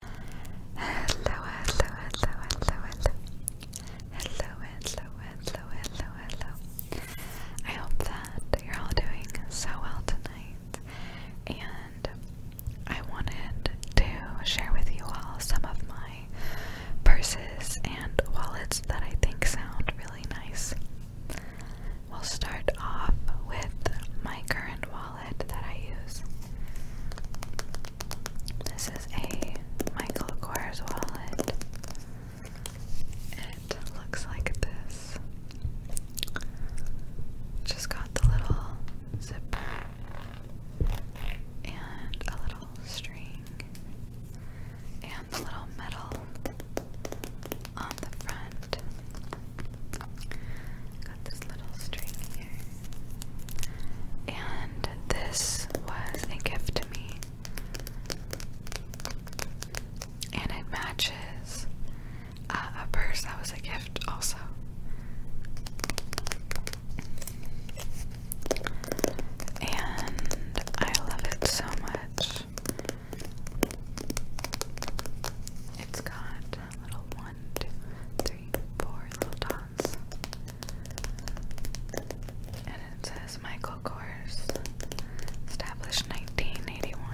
hello, hello, hello, hello, hello. Hello, hello, hello, hello, I hope that you're all doing so well tonight. And I wanted to share with you all some of my purses and wallets that I think sound really nice. We'll start off with my current wallet wallet that I use. This is a Michael Kors wallet. It looks like this. Just got the little zipper and a little string and the little metal on the front. Got this little string here. And this was a gift to me. And it matches uh, a purse that was a gift also. And I love it so much. It's got little one, two, three, four little dots. And it says Michael Kors, established 1981.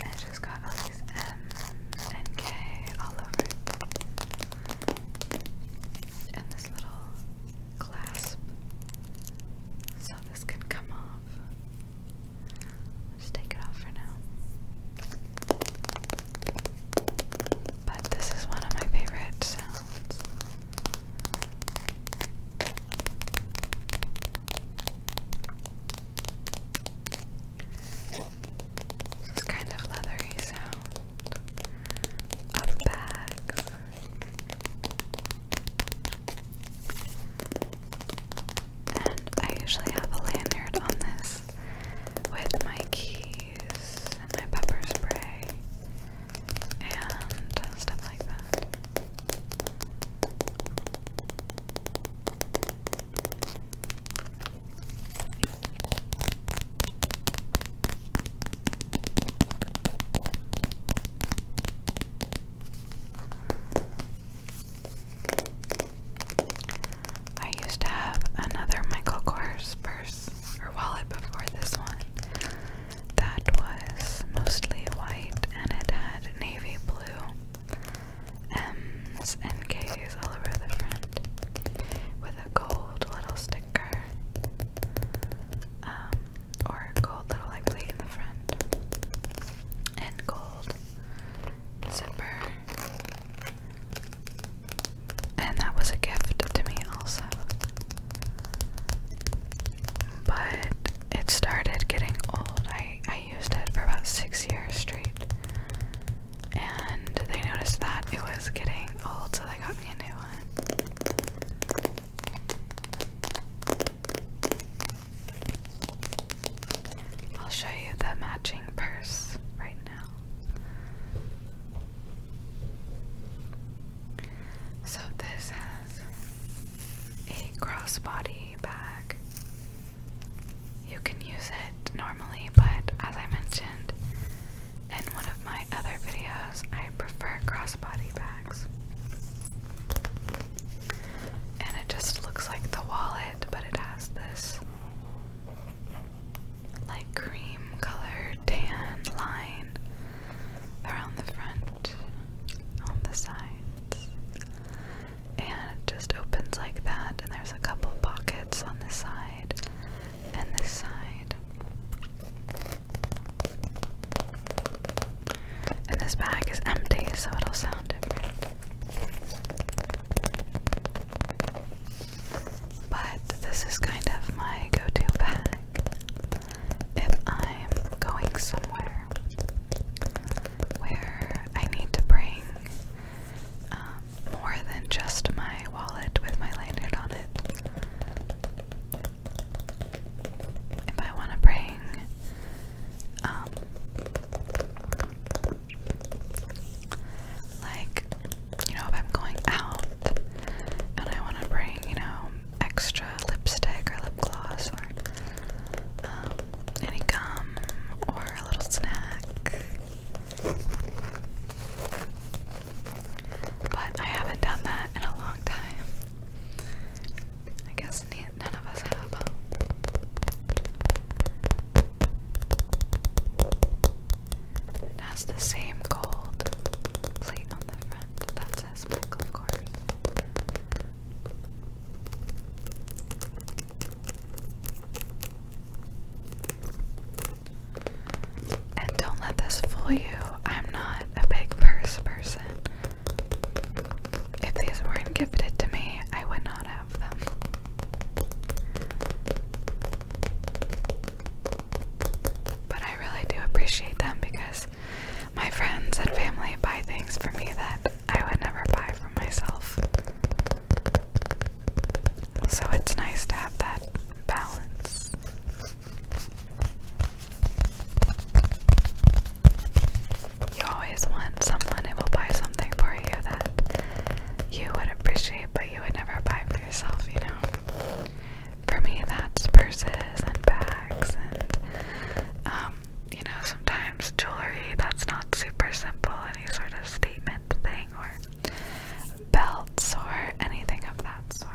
And it's just got all these M's and K all over And this little clasp. So this can come off. Let's take it off for now. But this is one of my favorite sounds. This kind of leathery sound of bags and I usually have a lanyard on this with my keys and my pepper spray and stuff like that. I used to have another Michael Kors purse or wallet before this one that was mostly white and it had navy blue M's and K's all over the front with a gold little sticker. Um, or gold little like plate in the front, and gold zipper. And that was a gift to me, also. But it started getting old. I, I used it for about six years straight. And they noticed that it was getting old, so they got me a new one. I'll show you the matching purse right now. So, this has a crossbody bag. You can use it normally, but as I mentioned in one of my other videos, I prefer crossbody bags. And it just looks like the wallet, but it has this like cream color tan line around the front, on the sides. And it just opens like that, and there's a couple pockets on this side and this side. And this bag is empty, so it'll sound different. But this is kind of my go to bag if I'm going somewhere where I need to bring um, more than just my wallet with my lanyard on it if I want to bring um, like you know if I'm going out and I want to bring you know extra lipstick or lip gloss or um, any gum or a little snack but I haven't done that in a long time I guess none of us have. It has the same gold plate on the front that says Michael, of course. And don't let this fool you. I'm not a big purse person. If these weren't gifted to me, I would not have them. But I really do appreciate them because my friends and family buy things for me that I would never buy for myself. So it's nice to have that balance. You always want someone who buy something for you that you would appreciate, but you would never buy for yourself, you know? For me, that's purses and bags and, um, you know, sometimes jewelry that's not super simple, any sort of statement thing or belts or anything of that sort.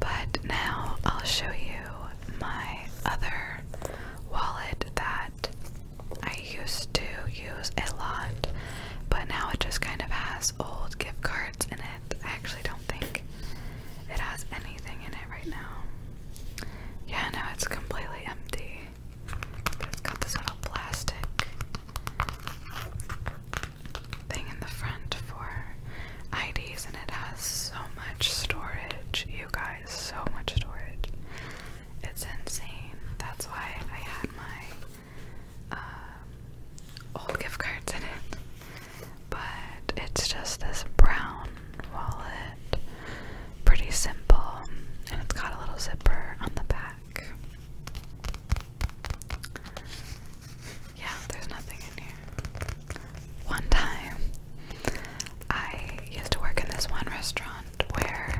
But now I'll show you my other wallet that I used to use a lot, but now it just kind of has old gift cards in it. I actually don't think it has anything in it right now. Yeah, no, it's completely empty. It's got this little plastic thing in the front for IDs, and it has so much storage. You guys, so much storage. It's insane. That's why I had my um, old gift cards in it. But it's just this brown wallet Pretty simple, and it's got a little zipper on the back. Yeah, there's nothing in here. One time, I used to work in this one restaurant where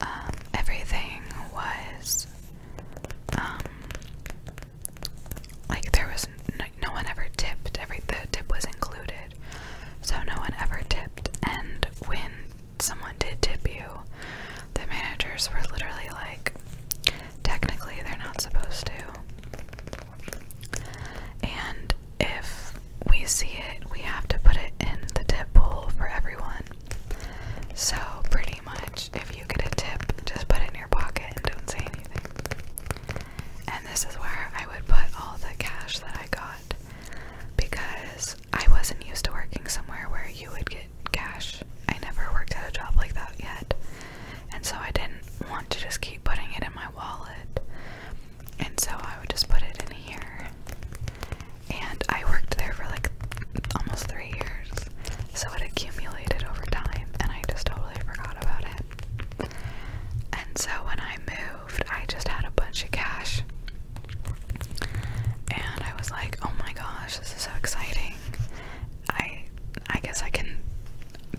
um, everything was. Um, like there was no one ever tipped every the tip was included so no one ever tipped. And when someone did tip you, the managers were literally like, technically, they're not supposed to. And if we see it, we have to put it in the tip pool for everyone. So, pretty much, if you get a tip, just put it in your pocket and don't say anything. And this is where I would put all the cash that I got because I wasn't used to working somewhere where you would get cash. I never worked at a job like that yet. And so I didn't want to just keep putting it in my wallet. And so I would just put it in here. And I worked there for like almost three years. So it accumulated over time and I just totally forgot about it. And so when I moved. I just had a bunch of cash. And I was like, "Oh my gosh, this is so exciting. I I guess I can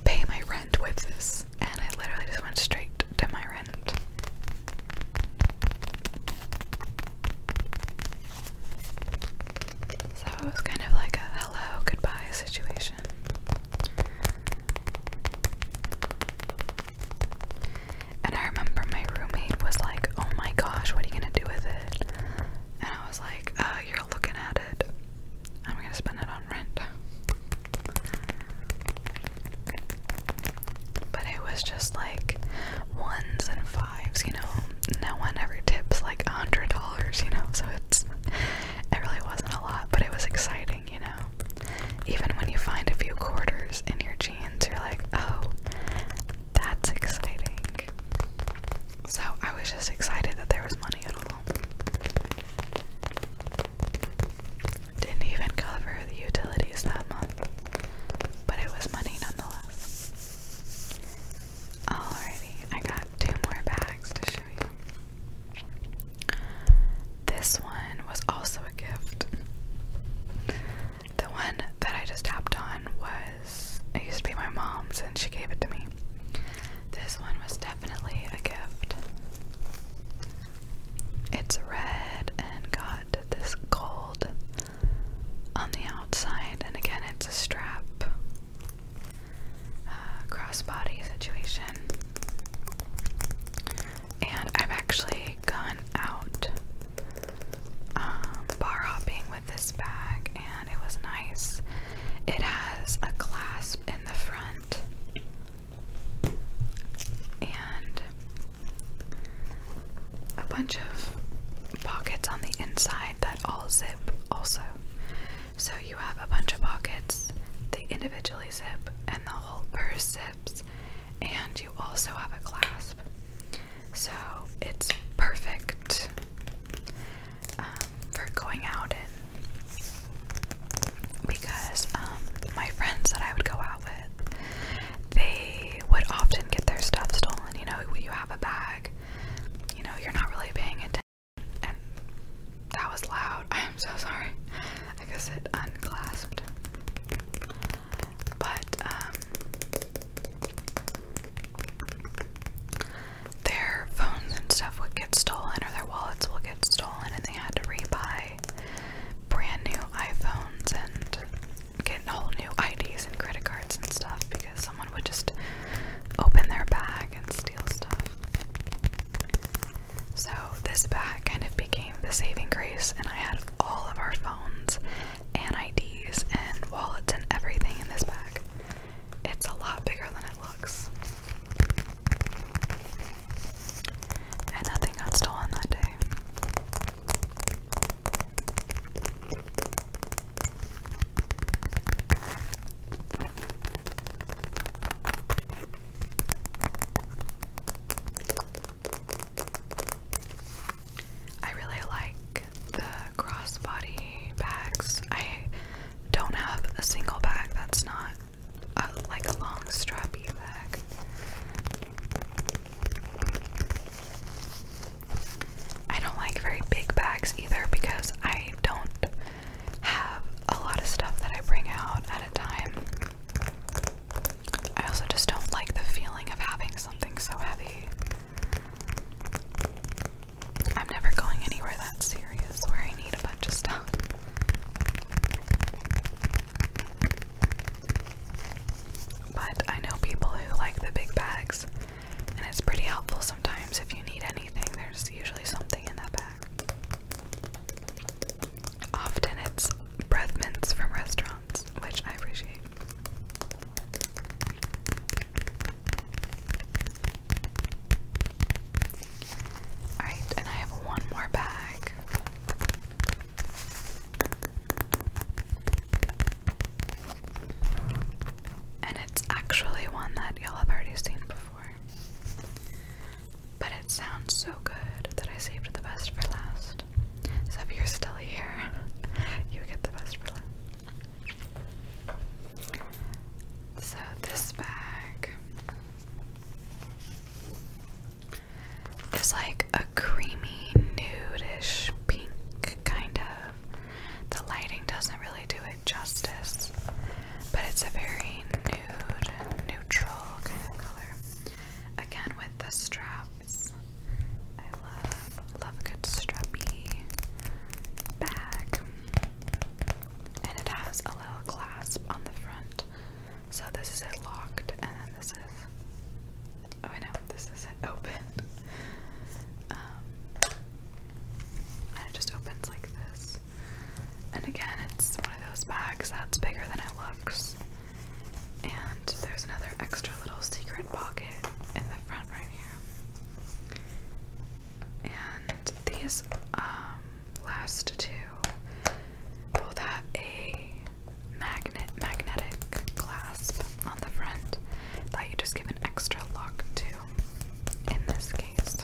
pay my rent with this." And I literally just went straight to my rent. So it was kind of like a hello goodbye situation. And I remember my roommate was like, Oh my gosh, what are you gonna do with it? And I was like, Uh, you're looking at it. I'm gonna spend it on rent. But it was just like ones and fives, you know. No one ever tips like a hundred dollars, you know, so it's it really wasn't a lot, but it was exciting exciting, you know? Even when you find a few quarters in your jeans, you're like, oh, that's exciting. So I was just excited that there was money at all. Didn't even cover the utilities that month, but it was money nonetheless. Alrighty, I got two more bags to show this one was also a gift. The one that I just tapped on was, it used to be my mom's and she gave it to me. This one was definitely a gift. It's red and got this gold on the outside, and again, it's a strap uh, crossbody situation. And I've actually gone out um, bar hopping with this bag, and it was nice. It has a clasp in the front, and a bunch of pockets on the inside that all zip also. So you have a bunch of pockets, they individually zip, and the whole purse zips, and you also have a clasp. So it's perfect um, for going out in because um, my friends that I would go out with, they would often get their stuff stolen. You know, you have a bag, you know, you're not really paying attention that was loud. I am so sorry. I guess it unclasped. But um, their phones and stuff would get stolen or their wallets will get stolen and they had to rebuy brand new iPhones and get a whole new IDs and credit cards and stuff because someone would just open their bag and steal stuff. So, this bag kind of became the saving grace, and I had all of our phones and IDs and wallets and everything in this bag. It's a lot bigger than it looks. And nothing got stolen that day. I really like the crossbody bags. I don't have a single bag that's not like a long strappy bag. I don't like very big bags either because I I don't have a lot of stuff that I bring out at a time. I also just don't like the feeling of having something so heavy. I'm never going anywhere that serious where I need a bunch of stuff. But I know people who like the big bags and it's pretty helpful sometimes if you need anything. There's usually something in that bag. Often it's breath mints from restaurants, which I appreciate. Alright, and I have one more bag. And it's actually one that y'all have already seen before. But it sounds so good that I saved the best for last. So if you're still here, you get the best for last. So this bag is like a creamy nudish pink kind of the lighting doesn't really do it justice, but it's a very nude, neutral kind of color. Again, with the straps, I love love a good strappy bag, and it has a little clasp on the front. So this is it locked, and then this is Oh, I know this isn't open. Um, and it just opens like this. And again, it's one of those bags that's bigger than it looks. And there's another extra little secret pocket in the front right here. And these um, last two both have a magnet magnetic clasp on the front that you just give an extra lock to in this case.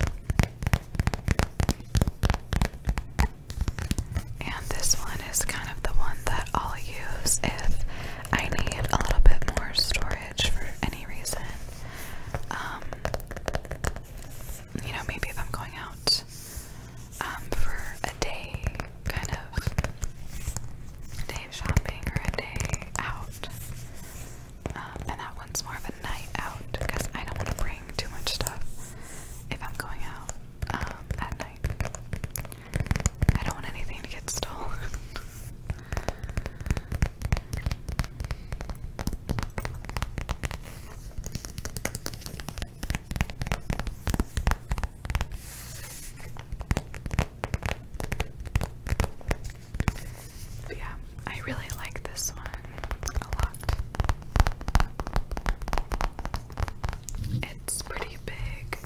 And this one is kind of the one that I'll use if I need a little bit more storage for any reason. Um, you know, maybe if I'm going out um, for a day kind of day shopping or a day out. Um, and that one's more of a night out because I don't want to bring too much stuff if I'm going out um, at night. I don't want anything to get stolen yeah, I really like this one a lot. It's pretty big.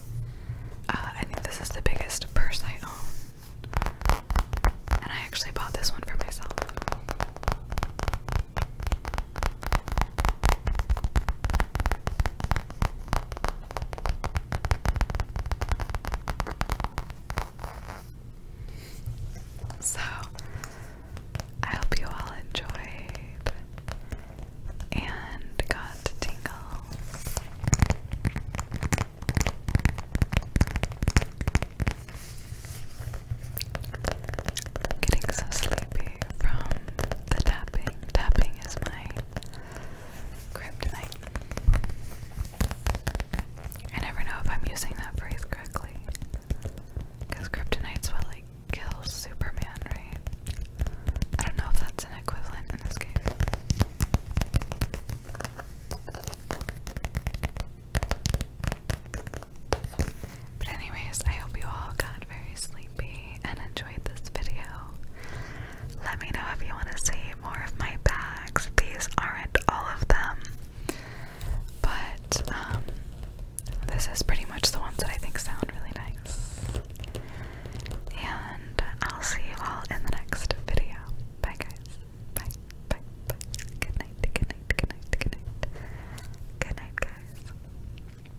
Uh, I think this is the biggest purse I own. And I actually bought this one for myself. So, I hope you all enjoyed and got tingle. getting so sleepy from the tapping. Tapping is my Kryptonite. I never know if I'm using that phrase correctly. Because kryptonite's what, like, kills Superman, right? I don't know if that's an equivalent in this case. But anyways, I hope you all got very sleepy and enjoyed this video. Let me know if you want to see more of my bags. These aren't all of them, but um, this is pretty much the ones that I think sound really nice. And I'll see you all in the next video. Bye, guys. Bye, bye, bye. Good night, good night, good night, good night. Good night, guys.